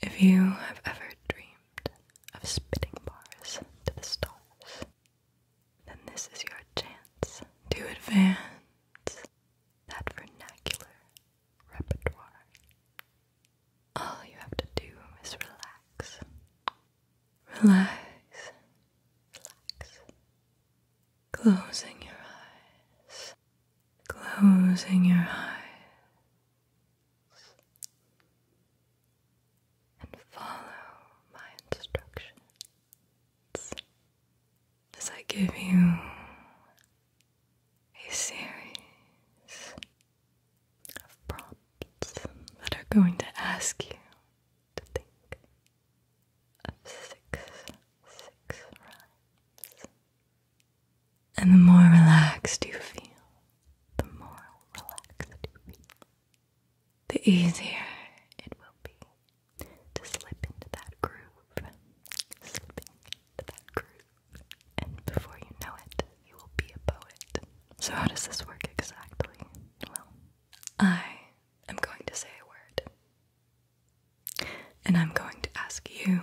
If you have ever dreamed of spitting bars to the stars, then this is your chance to advance that vernacular repertoire. All you have to do is relax. Relax. Relax. Closing your eyes. Closing your eyes and follow my instructions as I give you a series of prompts that are going to ask you to think of six, six rhymes. And the more relaxed you feel, the more relaxed you feel, the easier it will be to slip into that groove. Slipping into that groove. And before you know it, you will be a poet. So, how does this work exactly? Well, I am going to say a word. And I'm going to ask you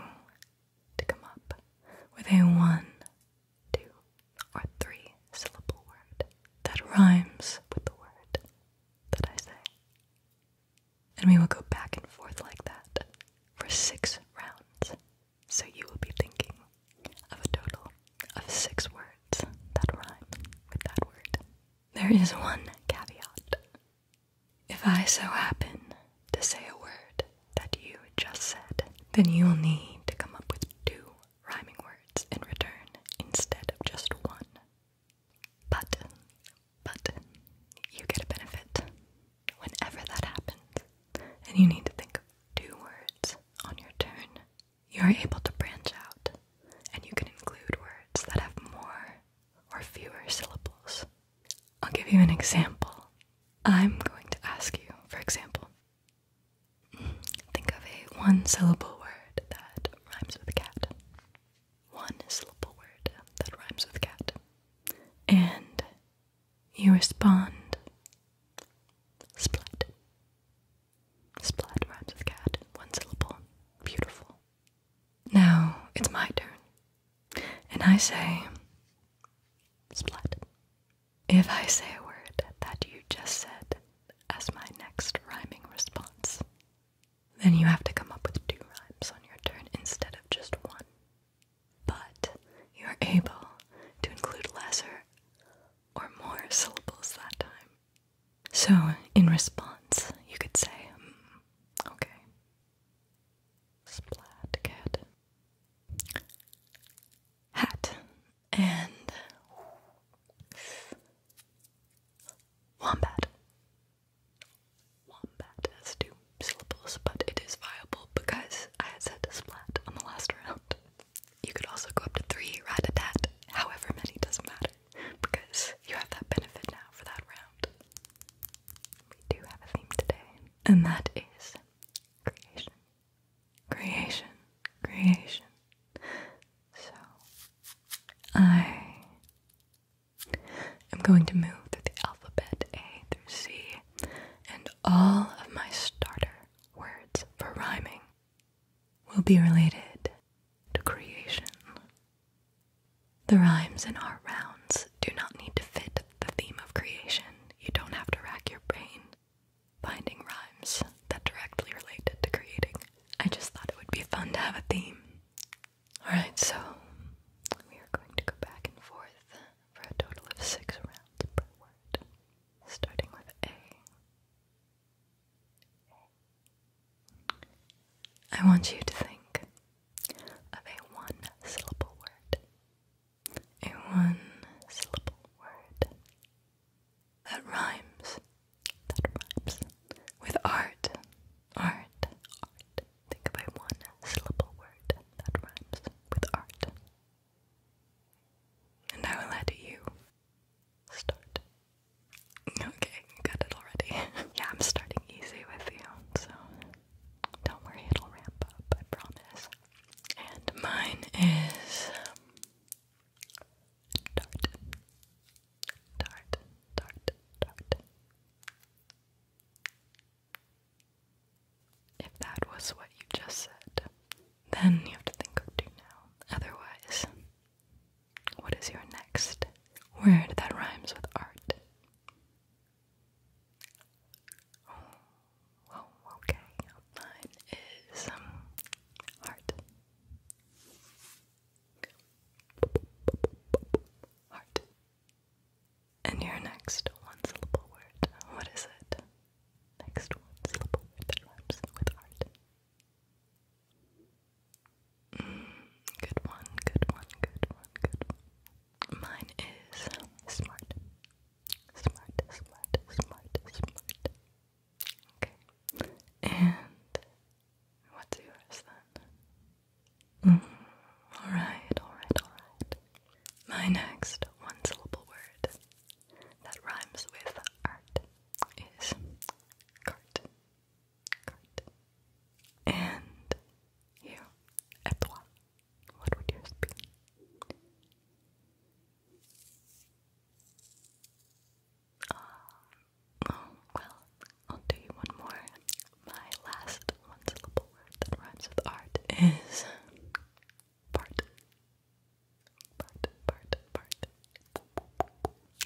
to come up with a one, two, or three syllable word that rhymes with the word that I say. And we will go back and forth like that for six rounds. So you will be thinking of a total of six words that rhyme with that word. There is one caveat. If I so happen to say a word that you just said, then you will need to come up with two rhyming words in return instead of just one. But, but, you get a benefit whenever that happens, and you need to think of two words on your turn. You are able to branch out, and you can include words that have more or fewer syllables. I'll give you an example I'm going to ask you, for example, think of a one syllable word that rhymes with cat. One syllable word that rhymes with cat. And you respond splat. Splat rhymes with cat. One syllable. Beautiful. Now it's my turn. And I say splat if I say a word that you just said as my next rhyming response, then you have to come up with two rhymes on your turn instead of just one. But you're able to include lesser or more syllables that time. So, in response, you could say, hmm, okay, splat cat, hat and wombat. Wombat has two syllables, but it is viable because I had said splat on the last round. You could also go up to three, rat however many doesn't matter, because you have that benefit now for that round. We do have a theme today, and that is creation creation, creation. So, I am going to move through the alphabet A through C and all of my starter words for rhyming will be related to creation. The rhymes in our rounds do not need to fit the theme of creation. You don't have to rack your brain finding rhymes that directly related to creating. I just thought it would be fun to have a theme. Alright, so we are going to go back and forth for a total of six rounds per word, starting with A. I want you to think of a one syllable word a one syllable word that rhymes, that rhymes with art, art, art. Think of a one syllable word that rhymes with art. And I will let you start. Okay, got it already. yeah, I'm starting easy with you, so don't worry, it'll ramp up, I promise and mine is Dart. Dart, Dart, Dart. If that was what you just said, then you have to think of two now. Otherwise, what is your next word that rhymes with art? Well, oh, okay, mine is um, heart. Heart. And your next one syllable word. What is it? Next one syllable word that rhymes with heart. Mm, good one, good one, good one, good one. Mine is smart. Smart, smart, smart, smart. Okay. And what's yours then? Mm-hmm. alright, alright, alright. My next one syllable word that rhymes with art is cart. Cart. And you, et what would yours be? Um, oh, well, I'll do you one more. My last one syllable word that rhymes with art is part. Part, part, part.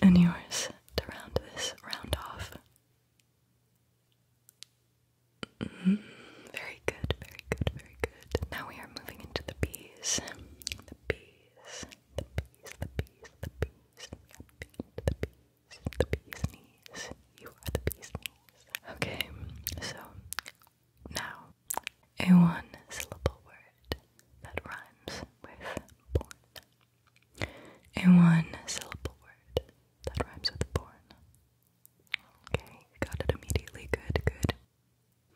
And yours to round this round off. Mm-hmm. very good, very good, very good. Now we are moving into the bees. The bees, the bees, the bees, the bees. The bees, the bees knees. You are the bees Okay, so now a one syllable word that rhymes with born. A one syllable word that rhymes with born. Okay, got it immediately. Good, good.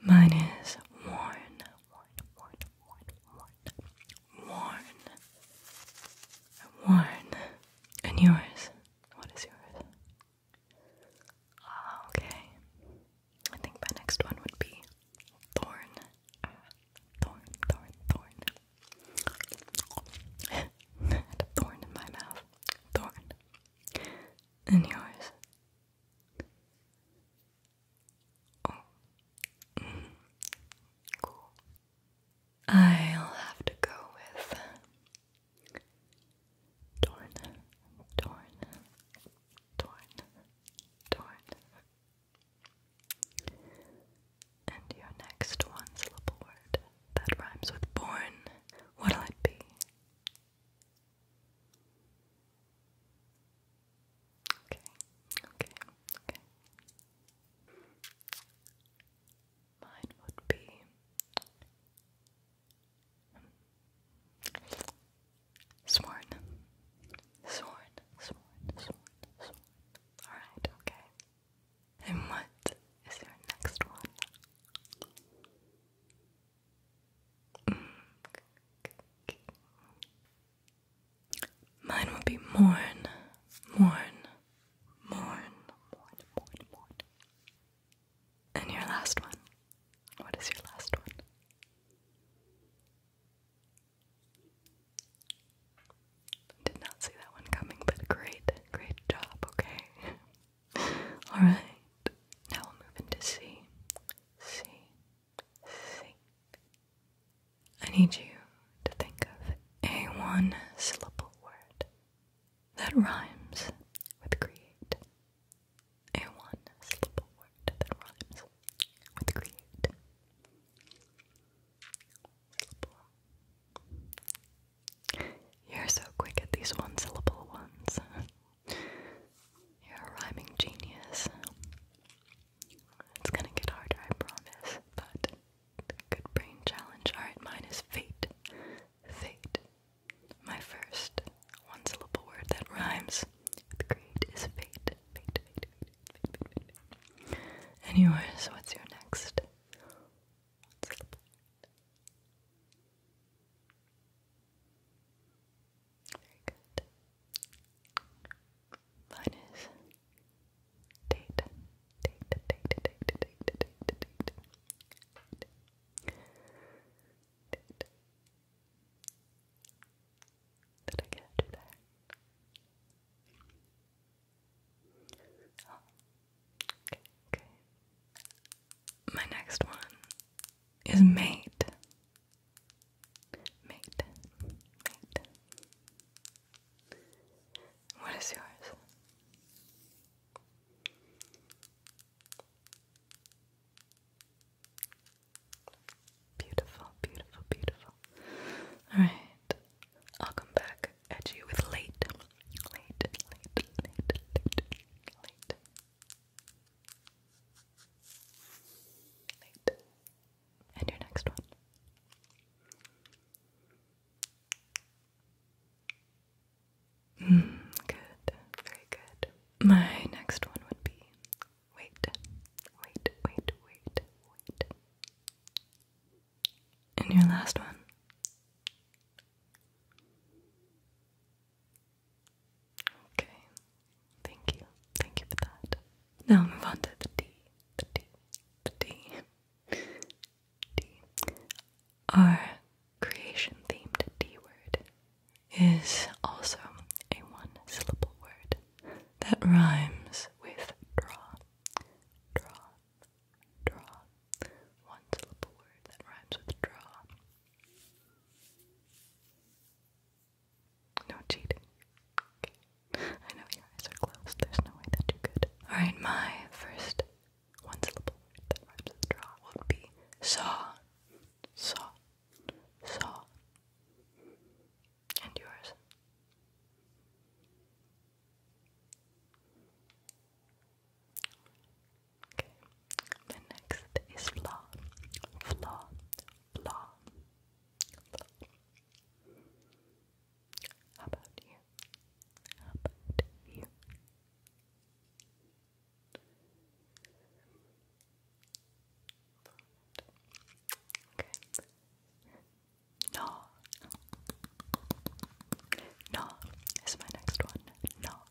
Mine is worn, worn, worn, worn, worn, worn, worn. And yours? What is yours? Ah, okay. I think my next one would be thorn, thorn, thorn, thorn. thorn in my mouth. Thorn. And yours? Oh. Cool. I'll have to go with Torn, Torn, Torn, Torn. And your next one syllable word that rhymes with born, what'll it be? Okay, okay, okay. Mine would be sworn, sworn, sworn, sworn, sworn. All right, okay. And what is your next one? Mine will be mourn, mourn, mourn, mourn, mourn, mourn. And your last one. What is your last one? Did not see that one coming, but great, great job, okay? Alright, now we'll move into C. C. C. I need you to think of a one syllable word that rhymes with create. A one syllable word that rhymes with create. You're so quick at these one syllable ones. You're a rhyming genius. It's gonna get harder, I promise, but good brain challenge. Alright, mine is fate. Fate. My first one syllable word that rhymes with great is fate. Fate, fate, fate, fate, fate, fate. And yours, what's your next very good. Mine is date, date, date, date, date, date, date, date, date. date. Did I catch you there? Okay, okay. My next one is made. Made. Made. What is yours? Beautiful, beautiful, beautiful. Alright, I'll come back at you with late, late, late, late, late, late, and your next one. Mm, good, very good. My next one would be wait, wait, wait, wait, wait. And your last one Okay. Thank you. Thank you for that. Now move on to the D. The D. The D. D. Our creation themed D word is also a one syllable word that rhymes with draw. Draw. Draw. One syllable word that rhymes with draw. No cheating. Okay. I know your eyes are closed. There's no way that you could. Alright, my first one syllable word that rhymes with draw would be saw. Saw. Saw. And yours. Okay. The next is flaw. Flaw. Flaw. How about you? How about you? Okay. No. No is my next one. No.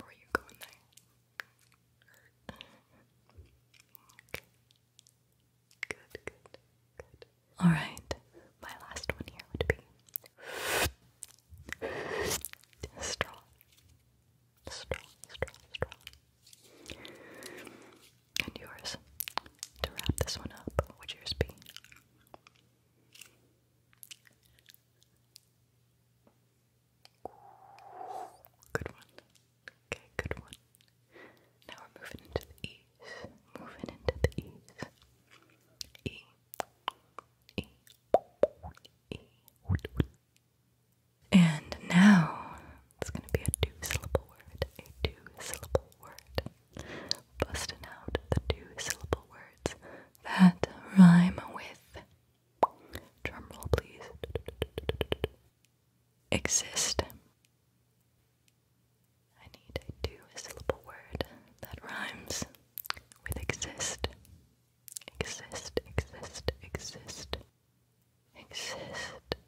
Were you going there? Good, good, good. Alright, my last one here would be straw. Straw, straw, straw. And yours. To wrap this one up, would yours be? Good one. Okay, good one. Now we're moving into the E's. Moving into the E's. E. E. E. And now it's going to be a two syllable word. A two syllable word. Busting out the two syllable words that rhyme with Drum roll, please. Exist. I need a two syllable word that rhymes with exist. Exist, exist, exist. Exist. exist. Two syllable.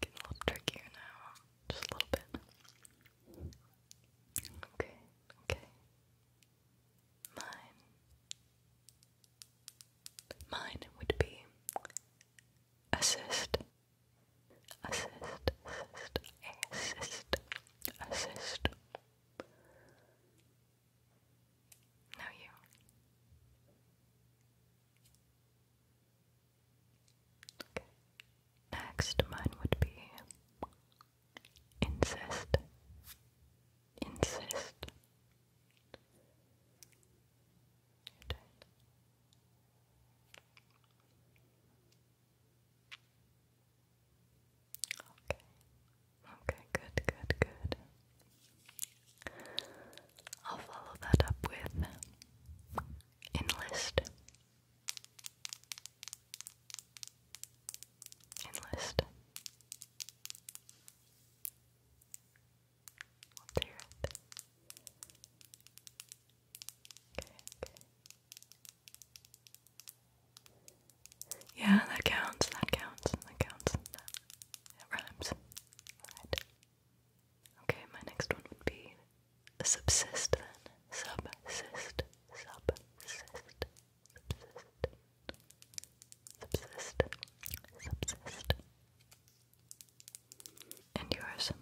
Get a little trickier now, just a little bit. Okay, okay. Mine. Mine would be assist. Assist, assist, assist, assist. Now you. Okay. Next, mine would be insist. Insist. Okay. Okay, good, good, good. I'll follow that up with enlist. Enlist. We'll tear it. Okay, okay. Yeah, that counts, that counts, that counts. It rhymes. Okay, my next one would be subsist then. Subsist. Subsist. Subsist. Subsist. Subsist. And yours.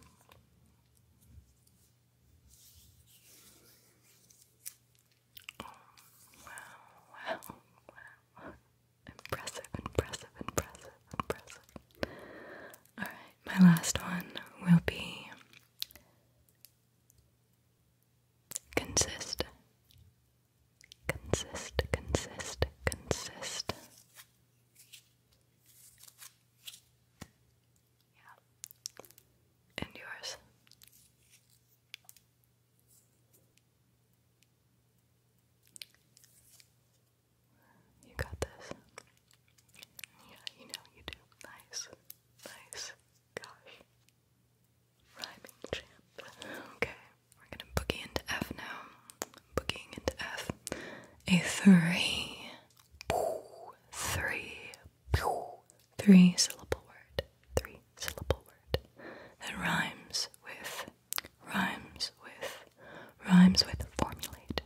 wow, wow, wow. Impressive, impressive, impressive, impressive. Alright, my last one will be consist. Consist, consist, consist. Yeah. And yours. You got this. Yeah, you know you do. Nice. Nice. Gosh. Rhyming champ. Okay. We're gonna boogie into F now. Boogieing into F. A three. syllable word. Three syllable word. That rhymes with rhymes with, rhymes with formulate,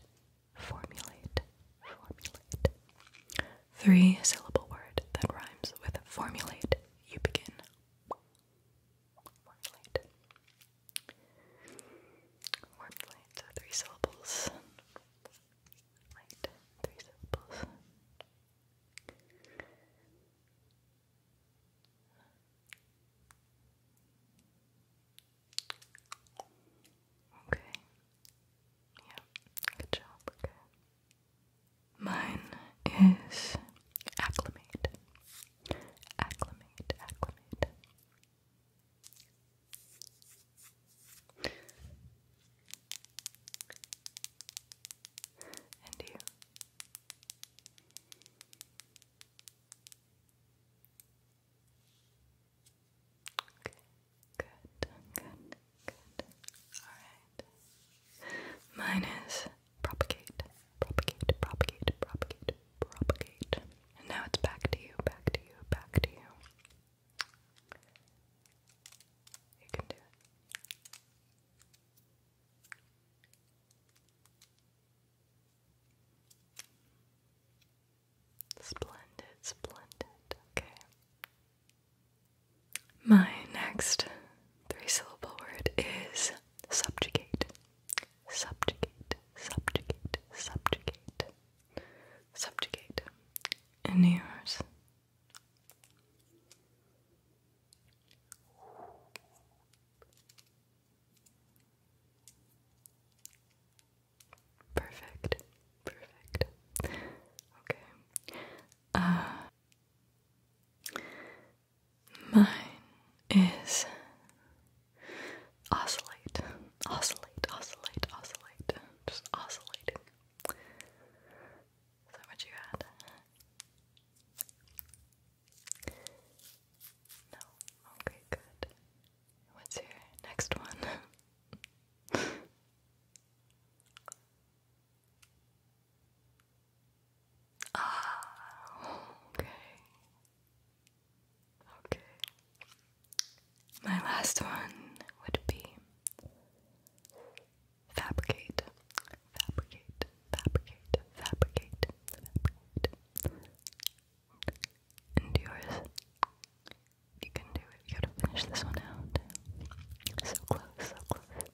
formulate, formulate. Three syllable word that rhymes with formulate. You begin. Formulate. Formulate, so three syllables. Formulate, three syllables. Okay. Yeah. Good job. Mine is acclimate. Acclimate. Acclimate. And you. Okay, good, good, good. Alright. Mine is propagate, propagate, propagate, propagate, propagate. And now it's back to you, back to you, back to you. You can do it. Splendid, splendid. Okay. My next three syllable word is subjugate. Subjugate, subjugate, subjugate, subjugate. And yours. Perfect. Perfect. Okay. Uh mine is oscillate. Oscillate, oscillate, oscillate. Just oscillating. Is that what you had? No? Okay, good. What's your next one? ah, okay. Okay. My last one would be fabricate fabricate, fabricate, fabricate, fabricate. And you can do it. You gotta finish this one out. So close, so close.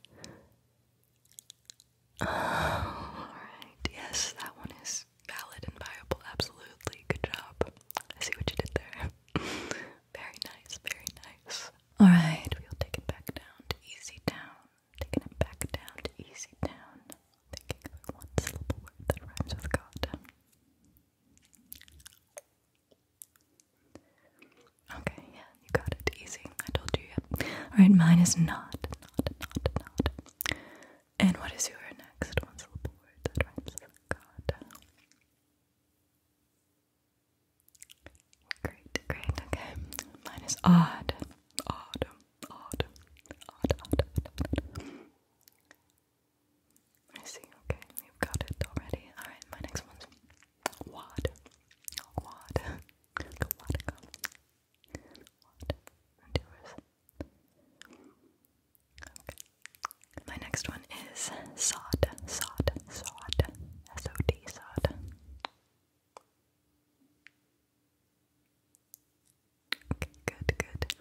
Oh, alright. Yes, that one is valid and viable. Absolutely. Good job. I see what you did there. very nice, very nice. Alright, we'll take it back down easy down taking it back down to easy thinking of one syllable word that rhymes with God. Okay, yeah, you got it. Easy. I told you, yep. Alright, mine is not, not, not, not. And what is your next one syllable word that rhymes with God? Great, great, okay. Mine is odd. Odd odd. Odd, odd, odd, I see, okay, you've got it already. Alright, my next one's wad. Wad. Go wad, go. Wad. My next one is sod. Sod. Sod. S-O-D. Sod. Okay, good, good.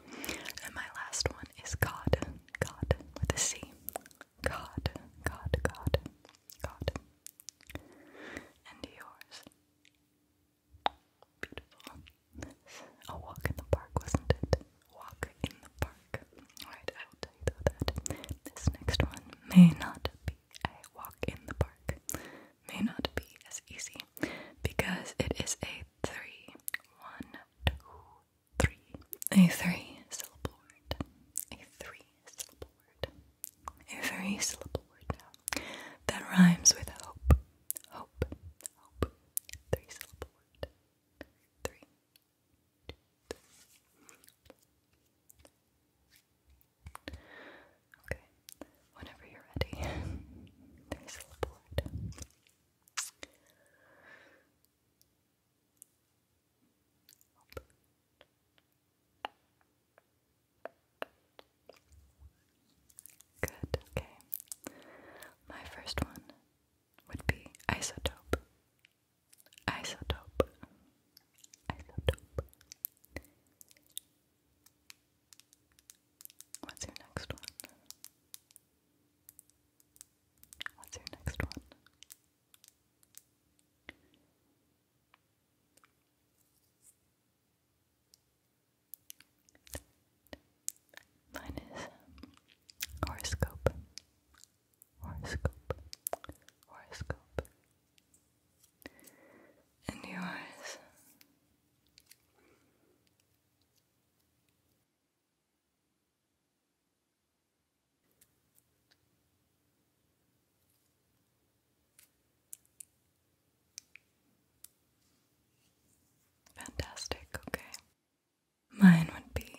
And my last one is God. God with a C. God, God, God, God. And yours. Beautiful. A walk in the park, wasn't it? Walk in the park. Alright, I will tell you though that this next one may not be a walk in the park may not be as easy because it is a three. One, A three syllable word. A three syllable word. A three syllable word now that rhymes with hope. Hope. Hope. Three syllable word. Three. Okay, whenever you're ready, there's the board. Good, okay. My first one would be isotope. Isotope. Isotope. What's your next one? What's your next one? Mine is horoscope, horoscope, horoscope, and yours. Fantastic, okay. Mine would be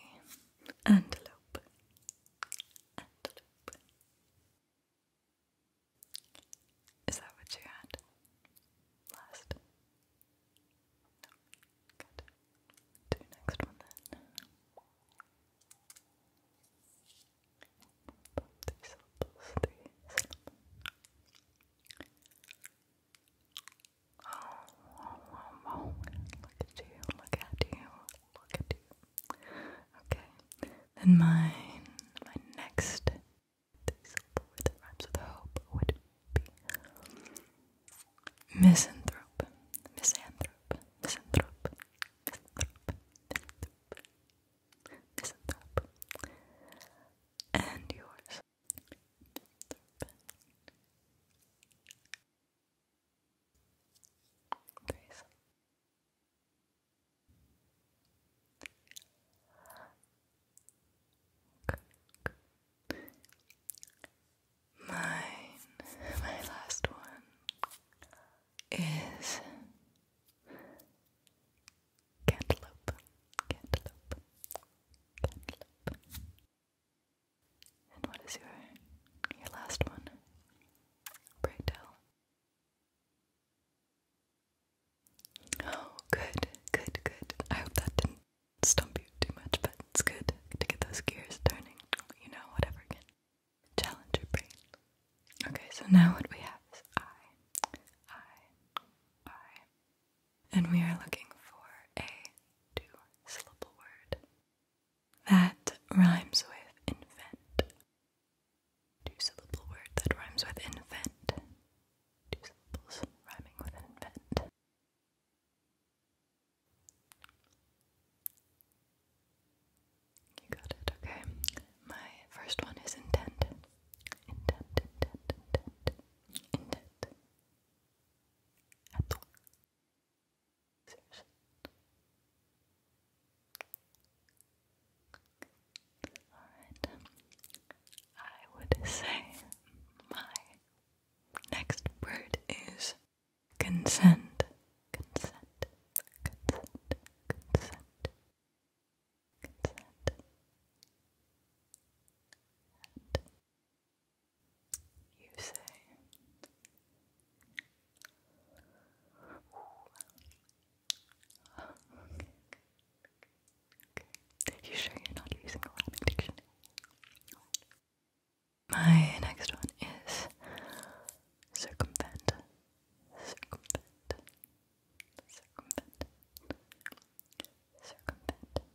antelope. Antelope. Is that what you had last? No. Good. Do next one then. Three syllables, three syllables. Oh, Look at you, look at you, look at you. Okay. Then mine, my next this word that rhymes with hope would be misanthrope, misanthrope, misanthrope, misanthrope, misanthrope, and yours. Misanthrope. Mine, my last one is cantaloupe, cantaloupe, cantaloupe. And what is your your last one? Brightdale. Oh, good, good, good. I hope that didn't stump you too much, but it's good to get those gears turning. You know, whatever can challenge your brain. Okay, so now what we have is I, I, I. And we are looking for a two syllable word that rhymes with invent. Two-syllable word that rhymes with invent. Two syllables rhyming with invent. You got it, okay. My first one is intent. Intent, Alright, I would say my next word is consent. Consent, consent, consent, consent. And you say, Oh, You sure you're not using a Latin dictionary? My next one is circumvent. Circumvent. Circumvent. Circumvent. Circumvent.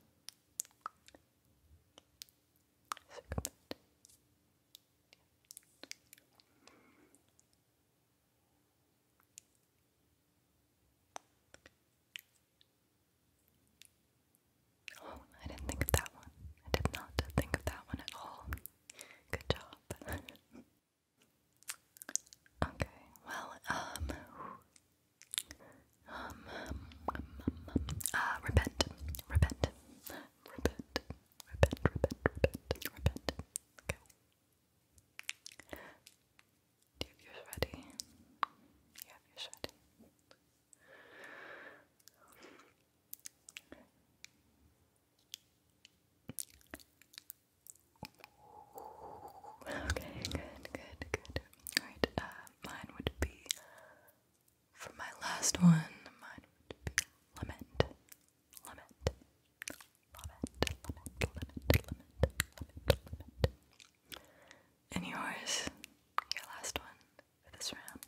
Oh, I didn't think of that one. I did not think of that one at all. Good job. okay, well, um, um, um, um, repent, repent, repent, repent, repent, repent, repent. Okay. Do you have yours ready? You have yours Okay. good, good, good. Alright, uh, mine would be, for my last one, mine would be Lament, Lament, Lament, And yours, your last one this round.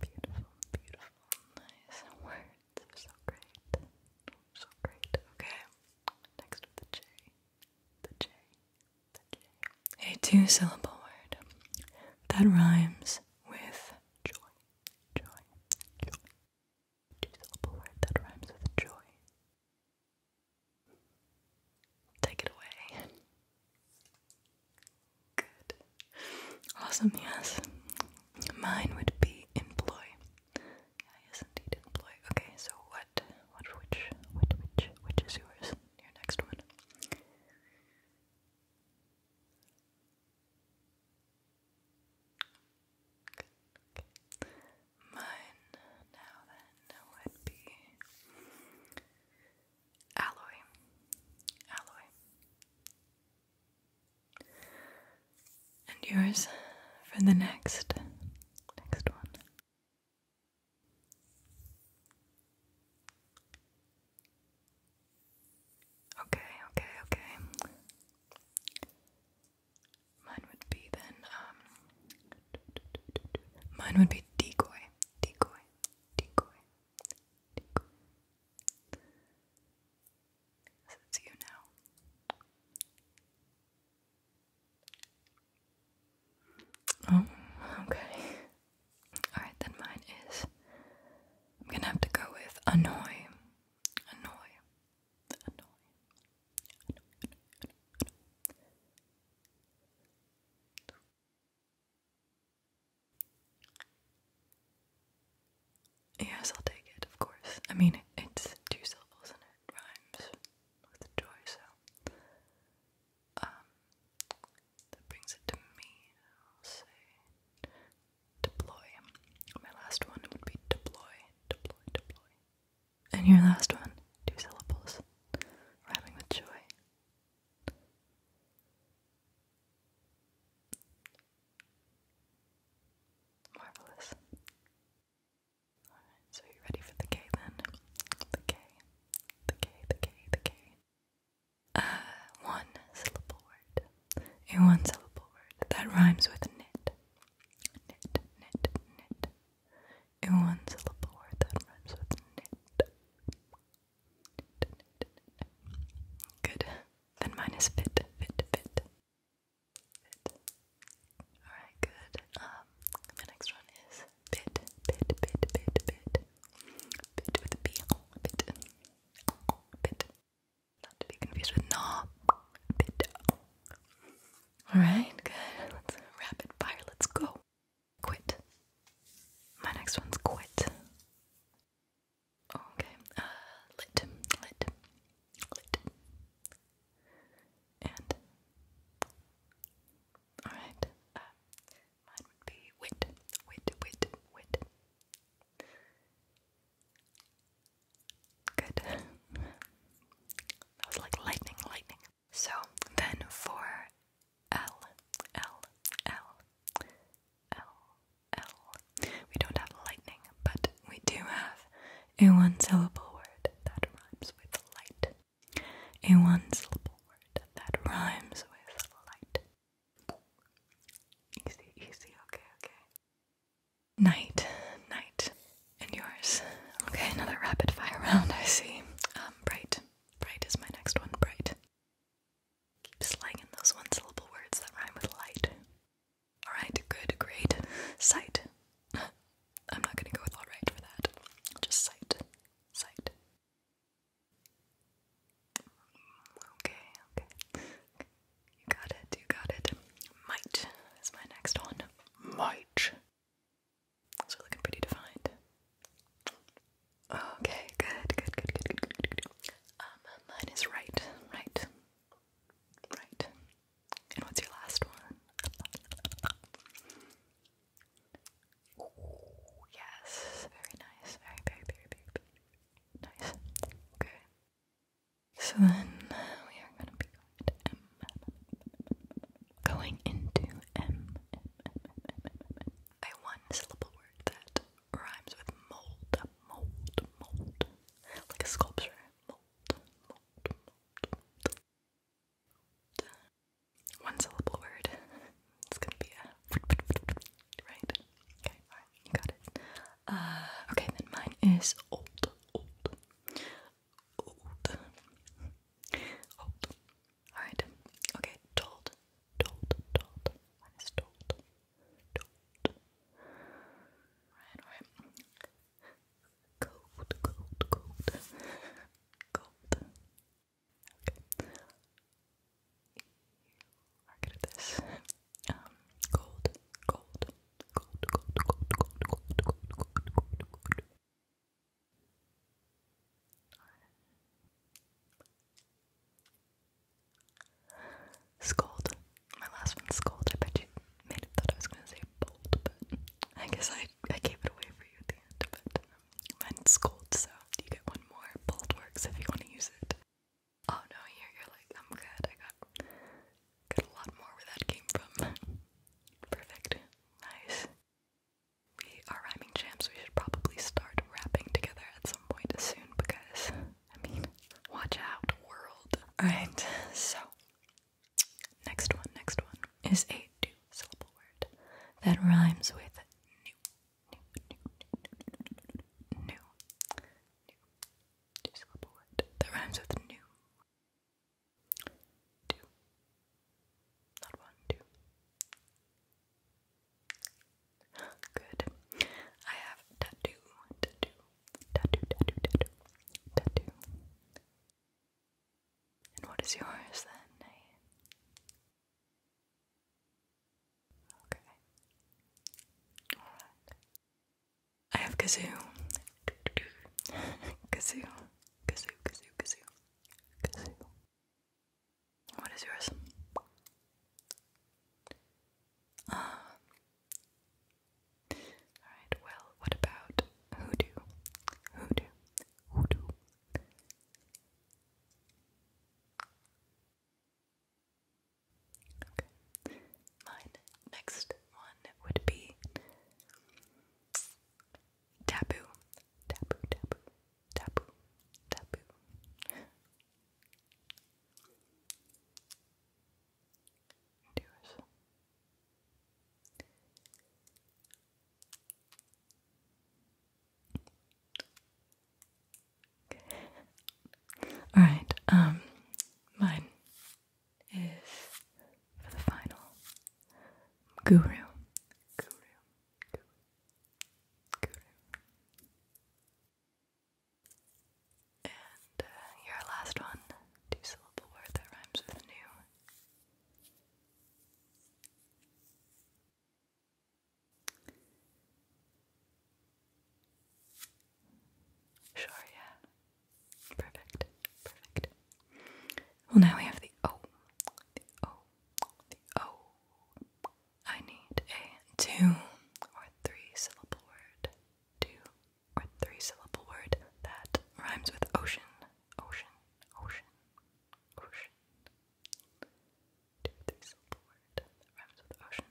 Beautiful, beautiful, nice words. So great. So great. Okay. Next the J. The J. The J. A two syllable word that rhymes with joy, joy, Two syllable word that rhymes with joy. Take it away. Good. Awesome, yes. Mine would be employ. Yeah, yes indeed, employ. Okay, so what what which which which which is yours? Your next one. Mine now then would be alloy, alloy. And yours for the next, next one. Okay, okay, okay. Mine would be then, um, mine would be decoy, decoy, decoy, decoy. it's you now. Oh, okay. Alright, then mine is. I'm gonna have to go with annoy. Annoy. Annoy. Yes, I'll take it, of course. I mean, it's two syllables and it rhymes with joy, so. Um, that brings it to me. I'll say deploy. My last one would be deploy, deploy, deploy. And your last one, two syllables, rhyming with joy. Marvelous. Alright, so you ready for the K then? The K, the K, the K, the K a uh, one syllable word. A one syllable word that rhymes with knit. Knit, knit, knit. A one syllable word that rhymes with knit. knit, knit, knit. Good. Then mine is fit, fit, fit. Fit. Alright, good. Um, the next one is bit, bit, bit, bit, bit. Bit with a B. Bit bit. Not to be confused with gnaw. Bit. Alright, good. Let's rapid fire. Let's go. Quit. My next one's quit. Okay. Uh, lit. Lit. Lit. And. Alright. Uh, Mine would be wit, wit, wit, wit. Good. that was like lightning, lightning. So then for L, L, L, L, We don't have lightning, but we do have a one syllable word that rhymes with light. A one syllable word that rhymes with light. Easy, easy, okay, okay. Night, night, and yours. Okay, another rapid fire round, I see. Um, bright. Bright is my next one, bright. Keep slanging those one syllable words that rhyme with light. Alright, good, great. Sight. I'm not gonna go with alright for that. Just sight. Sight. Okay, okay. You got it, you got it. Might is my next one. Might. Those looking pretty defined. Okay, good, good, good, good, good, good, good. Um, mine is right, right, right. And what's your last one? yes. Very nice. Very, very, very, very, very, Nice. Okay. So then we are going to be going to M. Going into M. M, M, M, M, M. A one syllable word that rhymes with mold. Mold. Mold. Like a sculpture. Mold. Mold. Mold. mold. One syllable word. It's gonna be a right. Okay, alright, you got it. Uh, okay, then mine is old, old, old, old. Alright, okay, told, told, told. Mine is told, told. Alright, alright. Cold, cold, cold, cold. Okay are good at this. Um, gold, gold, gold, gold, gold, gold, gold, gold, gold, gold, gold. My last one, scold. I bet you made it thought I was gonna say bold, but I guess I I gave it away for you at the end. But mine's scold, so you get one more. Bold works if you want to use it. Oh no, you're, you're like, I'm good, I got, got a lot more where that came from. Perfect. Nice. We are rhyming champs, we should probably start rapping together at some point soon because, I mean, watch out, world. Alright, so, next one, next one is a two syllable word that rhymes with new new, new, two syllable word that rhymes with new. Two, not one, two. Good. I have tattoo, And what is yours then? Okay. Alright. I have kazoo. kazoo. Kazoo, kazoo, kazoo. Kazoo. What is yours? Uh, Alright, well, what about hoodoo? Hoodoo. Hoodoo. Okay. Mine next one would be taboo. Taboo, taboo, taboo, taboo. yours. All right. Um, mine is for the final guru. Guru. Guru. And uh, your last one, two syllable word that rhymes with new. Sure, yeah. Perfect. Perfect. Well, now we have the O. The O. The O. I need a two or three syllable word. Two or three syllable word that rhymes with ocean. Ocean. Ocean. Ocean. Two three syllable word that rhymes with ocean.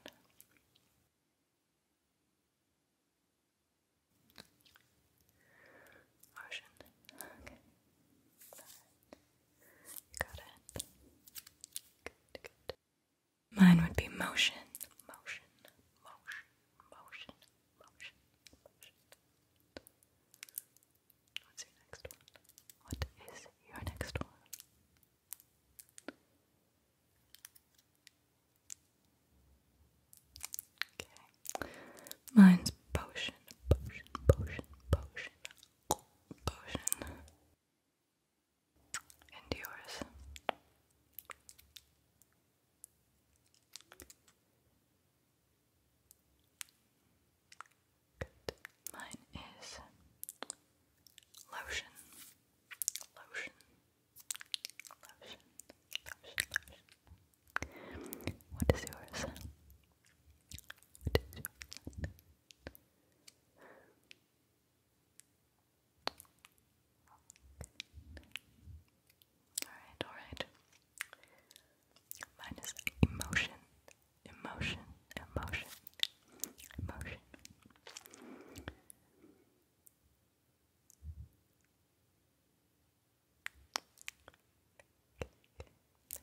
Mine would be motion. Motion. Motion. Motion. Motion. Motion. What's your next one? What is your next one? Okay. Mine's potion, potion, potion, potion, potion. And yours. Good. Mine is lotion lotion, lotion, lotion, lotion. What is yours? What is yours? Alright, alright. Mine emotion, emotion, emotion, emotion.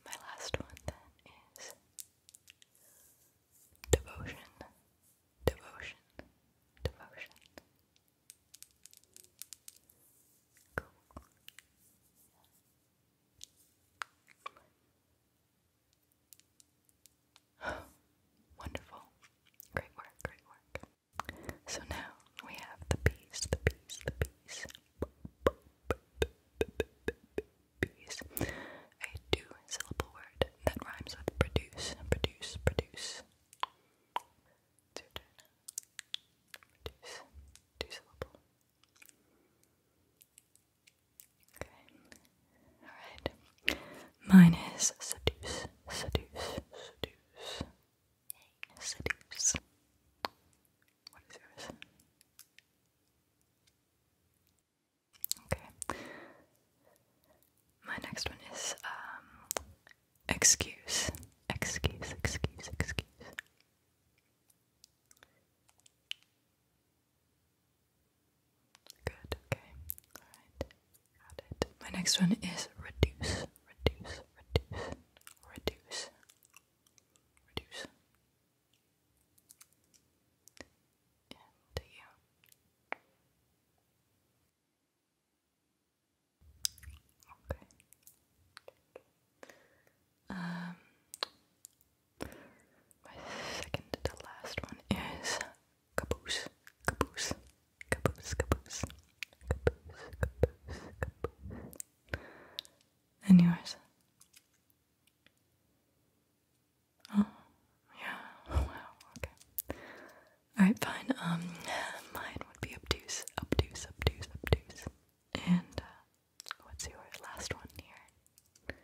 My last one then is devotion, devotion, devotion. Cool. Wonderful. Great work, great work. So now we have the bees, the bees, the bees. Bees. A two syllable word that rhymes with produce, produce, produce. It's your Produce. Two syllable. Okay. Alright. Mine is seduce, seduce, seduce. Seduce. What is yours? Okay. My next one is um, excuse. Excuse, excuse, excuse. Good, okay. Alright. Got it. My next one is reduce. Reduce. Reduce. Reduce. Reduce. And Okay. Um my second to last one is Caboose, caboose, caboose, caboose, caboose, caboose, caboose. And yours? Oh, yeah. wow. Okay. Alright, fine. Um, mine would be obtuse, obtuse, obtuse, obtuse. And, uh, what's your last one here?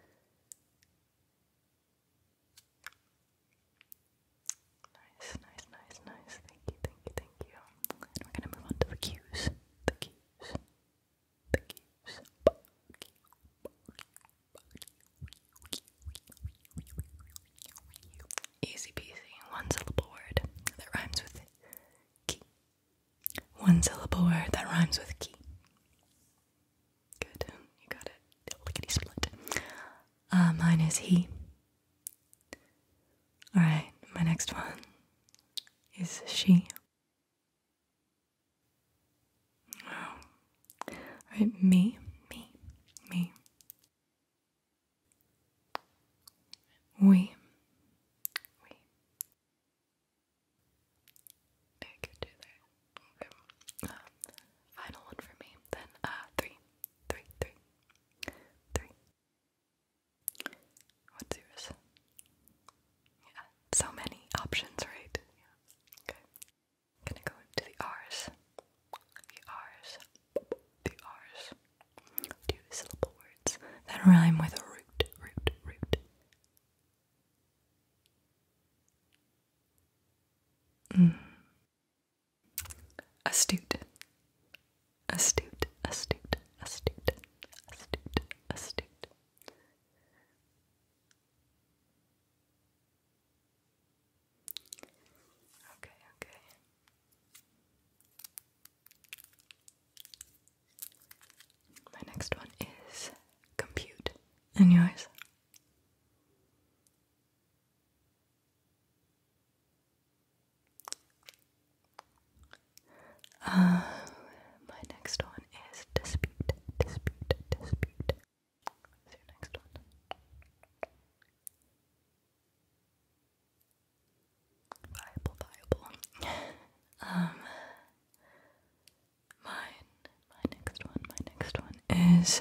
Nice, nice, nice, nice. Thank you, thank you, thank you. we're gonna move on to the cues. The cues. The cues. Easy peasy. One syllable word that rhymes with key. One syllable word that rhymes with key. Good, you got it. Lickety split. Uh, mine is he. Alright, my next one is she. Oh. Alright, me, me, me. We. We. I could do that. Okay. final one for me. Then uh three. Three, three, three. What's Yeah. So many options, right? Yeah. Okay. gonna go to the R's. The R's. The R's. Do syllable words. That rhyme with root, root, root. Mm, Astute. Astute, astute, astute, astute, astute. Okay, okay. My next one is compute. And yours? Uh, my next one is dispute, dispute, dispute. What's your next one? Viable, viable. um, mine, my next one, my next one is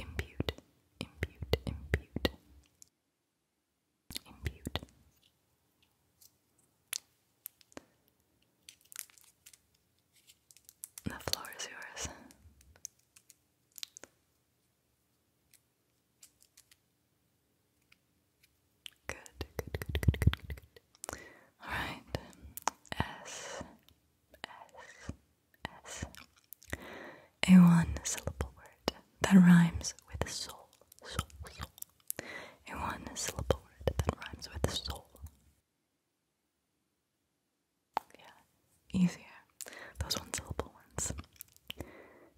Impute, impute, impute. Impute. The floor is yours. Good, good, good, good, good, good, Alright. S S. A one syllable word that rhymes with soul. Soul, soul. A one syllable word that rhymes with soul. Yeah, easier. Those one syllable ones.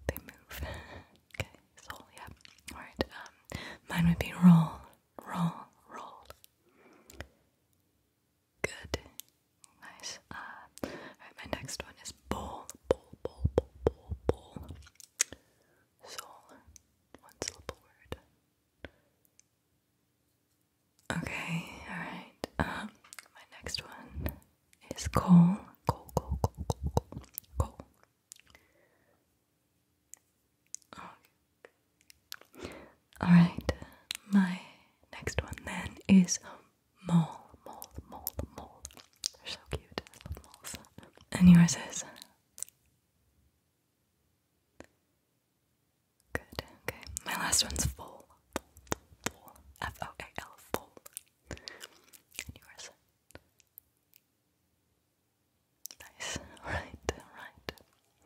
They move. okay, soul, yeah. Alright, um, mine would be roll, roll, roll. Good. Nice. Uh, alright, my next one is bowl. Bowl, bowl, bowl, bowl, bowl. Soul. One syllable word. Okay, alright. Um, my next one is coal. Coal, coal, coal, coal, coal, coal. Oh, Alright, my next one then is Mole, Mole, Mole, Mole. so cute. I And yours is? Good, okay. My last one's Full. Full. F O A L, Full. And yours? Nice. Alright, alright.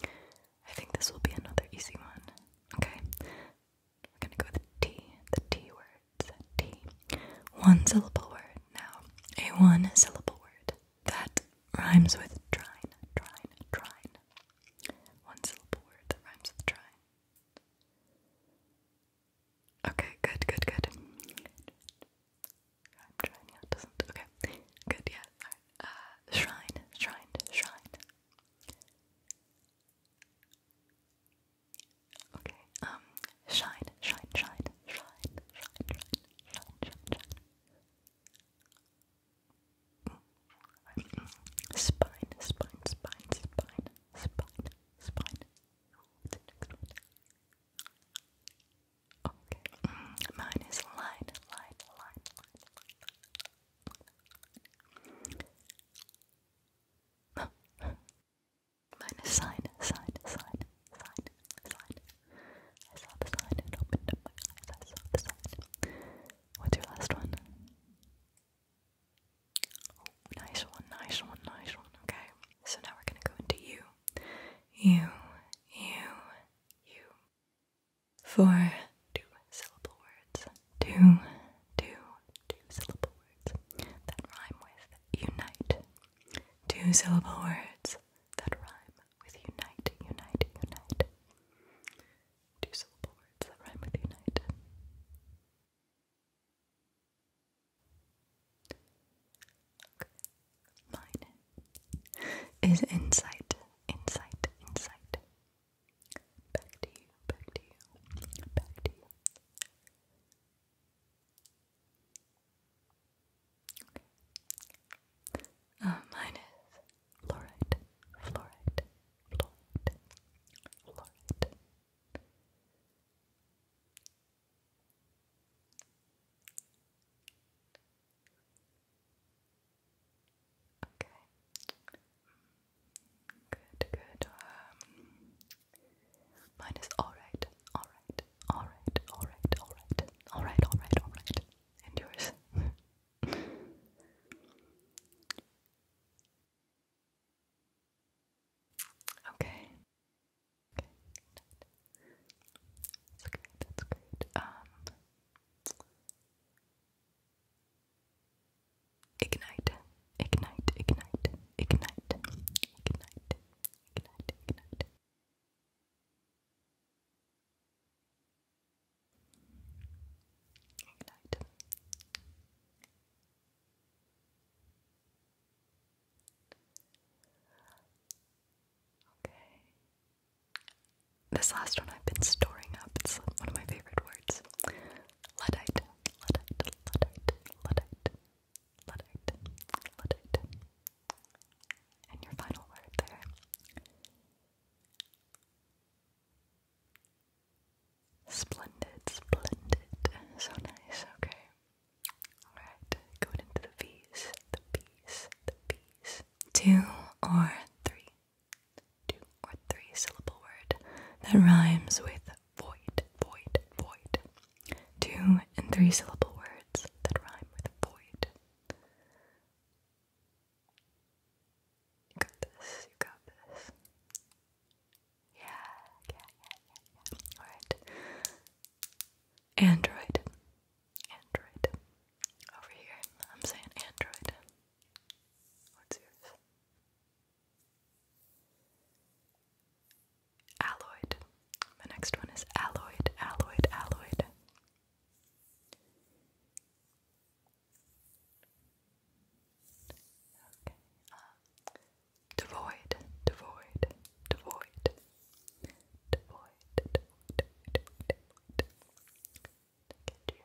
I think this will be another easy one. Okay. We're gonna go with T, the T words. T. One syllable word now. A one syllable word. That rhymes with trine, trine, trine. One syllable word that rhymes with trine. Okay, good, good, good. Uh, shrine, shrine, shrine. Okay, um, shine, shine, shine, shine, shine, shine, shine, shine, Spine, spine, spine, spine, spine, spine. What's the next one? Okay, mm, mine is line, line, line, Minus sign, sign, sign, sign, sign. I saw the sign and opened my eyes. I saw the sign. What's your last one? nice one, nice one, nice one. Okay. So now we're gonna go into you. You, you, you. 4 two syllable words. Two, two, two syllable words that rhyme with unite. Two syllable words that rhyme with unite, unite, unite. Two syllable words that rhyme with unite. Okay. Mine is insight, insight, insight, Back to you, back to you, back to you. Okay. Uh, mine is fluorite, Okay. Good, good. Um, mine is alright, alright, alright, alright, alright, alright, alright, alright. And yours? okay. Okay. That's great, that's great. Um Ignite, ignite, ignite, ignite, ignite, ignite, ignite. Ignite. Okay. This last one I've been storing up. It's one of my favorite words. Luddite, Luddite, Luddite, Luddite, Luddite, Luddite. And your final word there. Splendid, splendid. So nice, okay. Alright, going into the V's, the B's, the B's. Two or three two or three syllable word that rhymes with void, void, void. Two and three syllable words that rhyme with void. You got this, you got this. Yeah, yeah, yeah, yeah, Alright. Android. Android. Over here, I'm saying Android. What's yours? Alloyed. The next one is alloyed, alloyed, alloyed. Okay. Uh, devoid, devoid, devoid, devoid, devoid, devoid, devoid, to you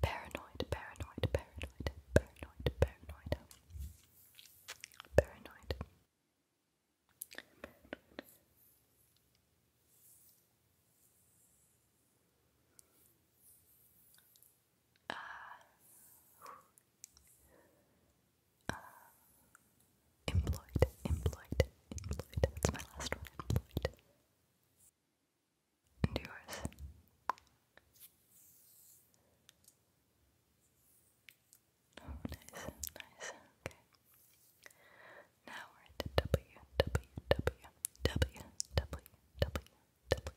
paranoid, paranoid, paranoid, paranoid, paranoid paranoid paranoid ah. Uh, employed, employed, employed. That's my last one, employed. yours. Oh, nice, nice, okay. Now we're at W, W, W, W, W, W,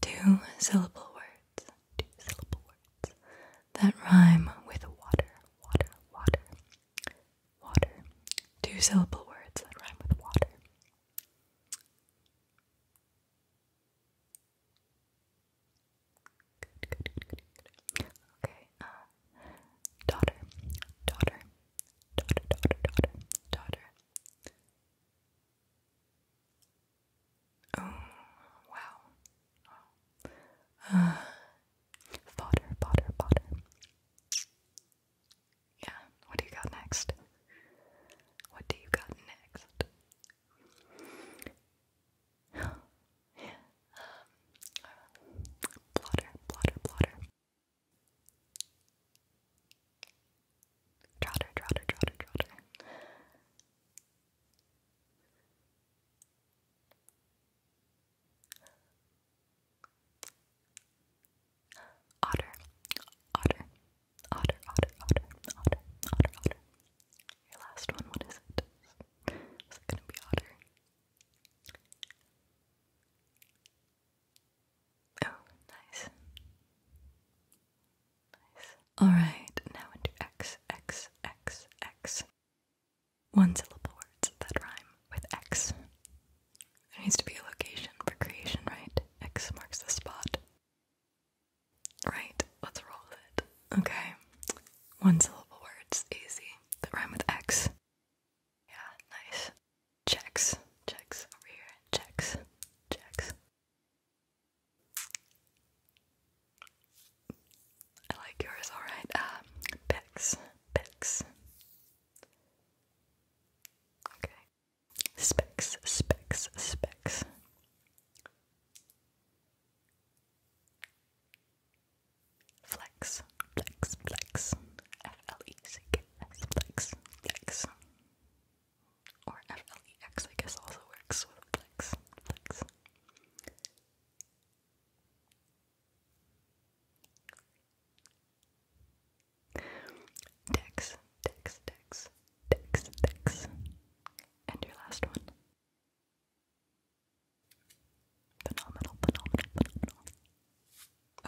Two syllable words two syllable words that rhyme with water, water, water, water. Two syllable words that rhyme with water. Good, good, good, good, Okay, uh, daughter, daughter, daughter, daughter, daughter, daughter. Oh, wow. Potter, uh, fodder, fodder, Yeah, what do you got next? What do you got next? yeah. Um, plotter, Trotter, trotter, trotter, trotter. Otter, otter, otter, otter, otter, otter, otter, otter. Your last one, what is it? Is it gonna be otter? Oh, nice. Nice. Alright, now into X, X, X, X. One syllable words that rhyme with X. There needs to be a location for creation, right? X marks the spot. Right, let's roll with it. Okay. One syllable words, easy. That rhyme with X. Yeah, nice. Checks, checks over here, checks, checks. I like yours, alright. Um, Bex. Okay. Specs, specs, specs. Flex, flex, flex. F L E C K S, flex, flex. Or F L E X, I guess, also works flex, flex. Dex, Dex, Dex, Dex, Dex. And your last one. Phenomenal, phenomenal, phenomenal.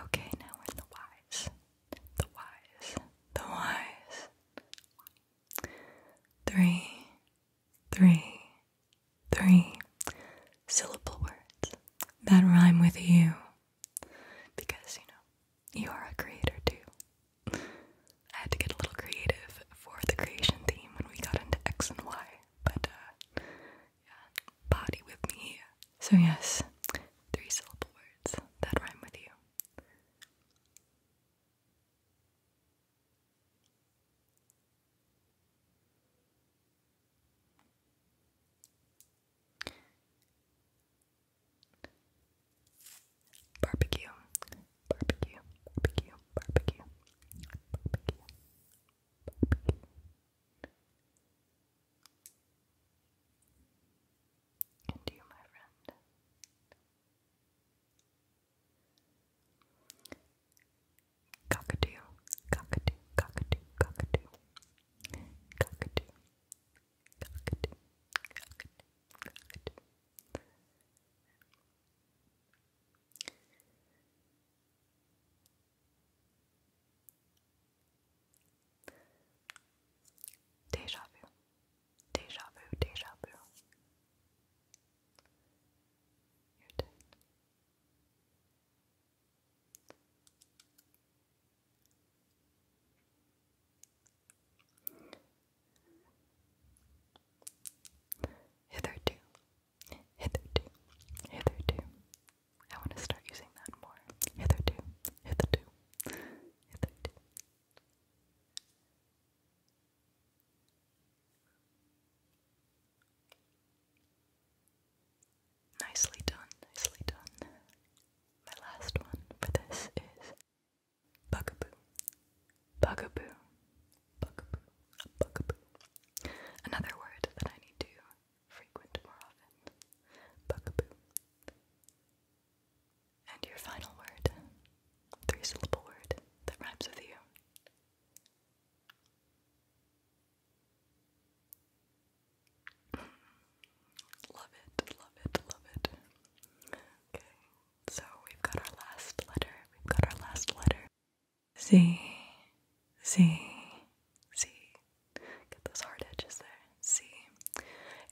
Okay, now we're in the whys. The whys. The whys. Three, three, three syllable words that rhyme with you. Because, you know, you are a creator too. I had to get a little creative for the creation theme when we got into X and Y, but uh, yeah, body with me. So, yes, three syllable words that rhyme with you. Barbecue, barbecue, barbecue, barbecue, barbecue, barbecue. And you, my friend, Cockatoo, cockatoo, cockatoo, cockatoo. Cockatoo, cockatoo, cockatoo, cockatoo. Deja vu, deja vu, deja vu. Hitherto, hitherto, hitherto. I want to start using that more. Hitherto, hitherto, hitherto. Nicely done, nicely done. My last one for this is Bugaboo. Bugaboo. Bugaboo. Bugaboo. Another word that I need to frequent more often. Bugaboo. And your final word, three syllable word that rhymes with you. Love it, love it, love it. Okay, so we've got our last letter. We've got our last letter. Z, Z, Z. Get those hard edges there. Z.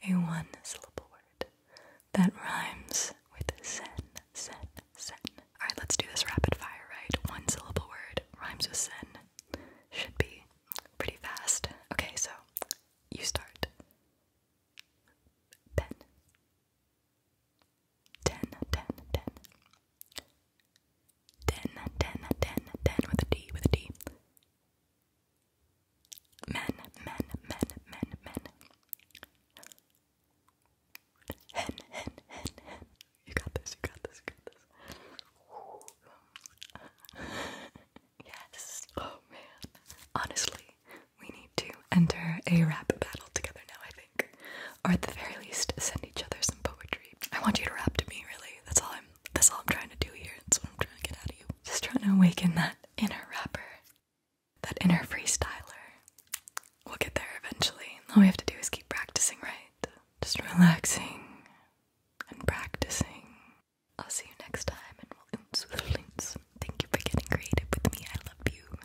A one syllable word that rhymes with Zen. Sin, sin. Alright, let's do this rapid fire, right? One syllable word, rhymes with sin. Should be pretty fast. Okay, so you start. Pen. with a D, with a D. Men, men, men, men, men. Hen, hen, hen, hen. You got this, you got this, you got this. yes, oh man. Honestly, we need to enter a rap battle together now, I think. Or at the very least, send each other some poetry. I want you to rap to me, really. That's all I'm that's all I'm trying to do here. That's what I'm trying to get out of you. Just trying to awaken that inner rapper that inner freestyler. We'll get there eventually. All we have to do is keep practicing, right? Just relaxing and practicing. I'll see you next time, and we'll oops with links. Thank you for getting creative with me. I love you.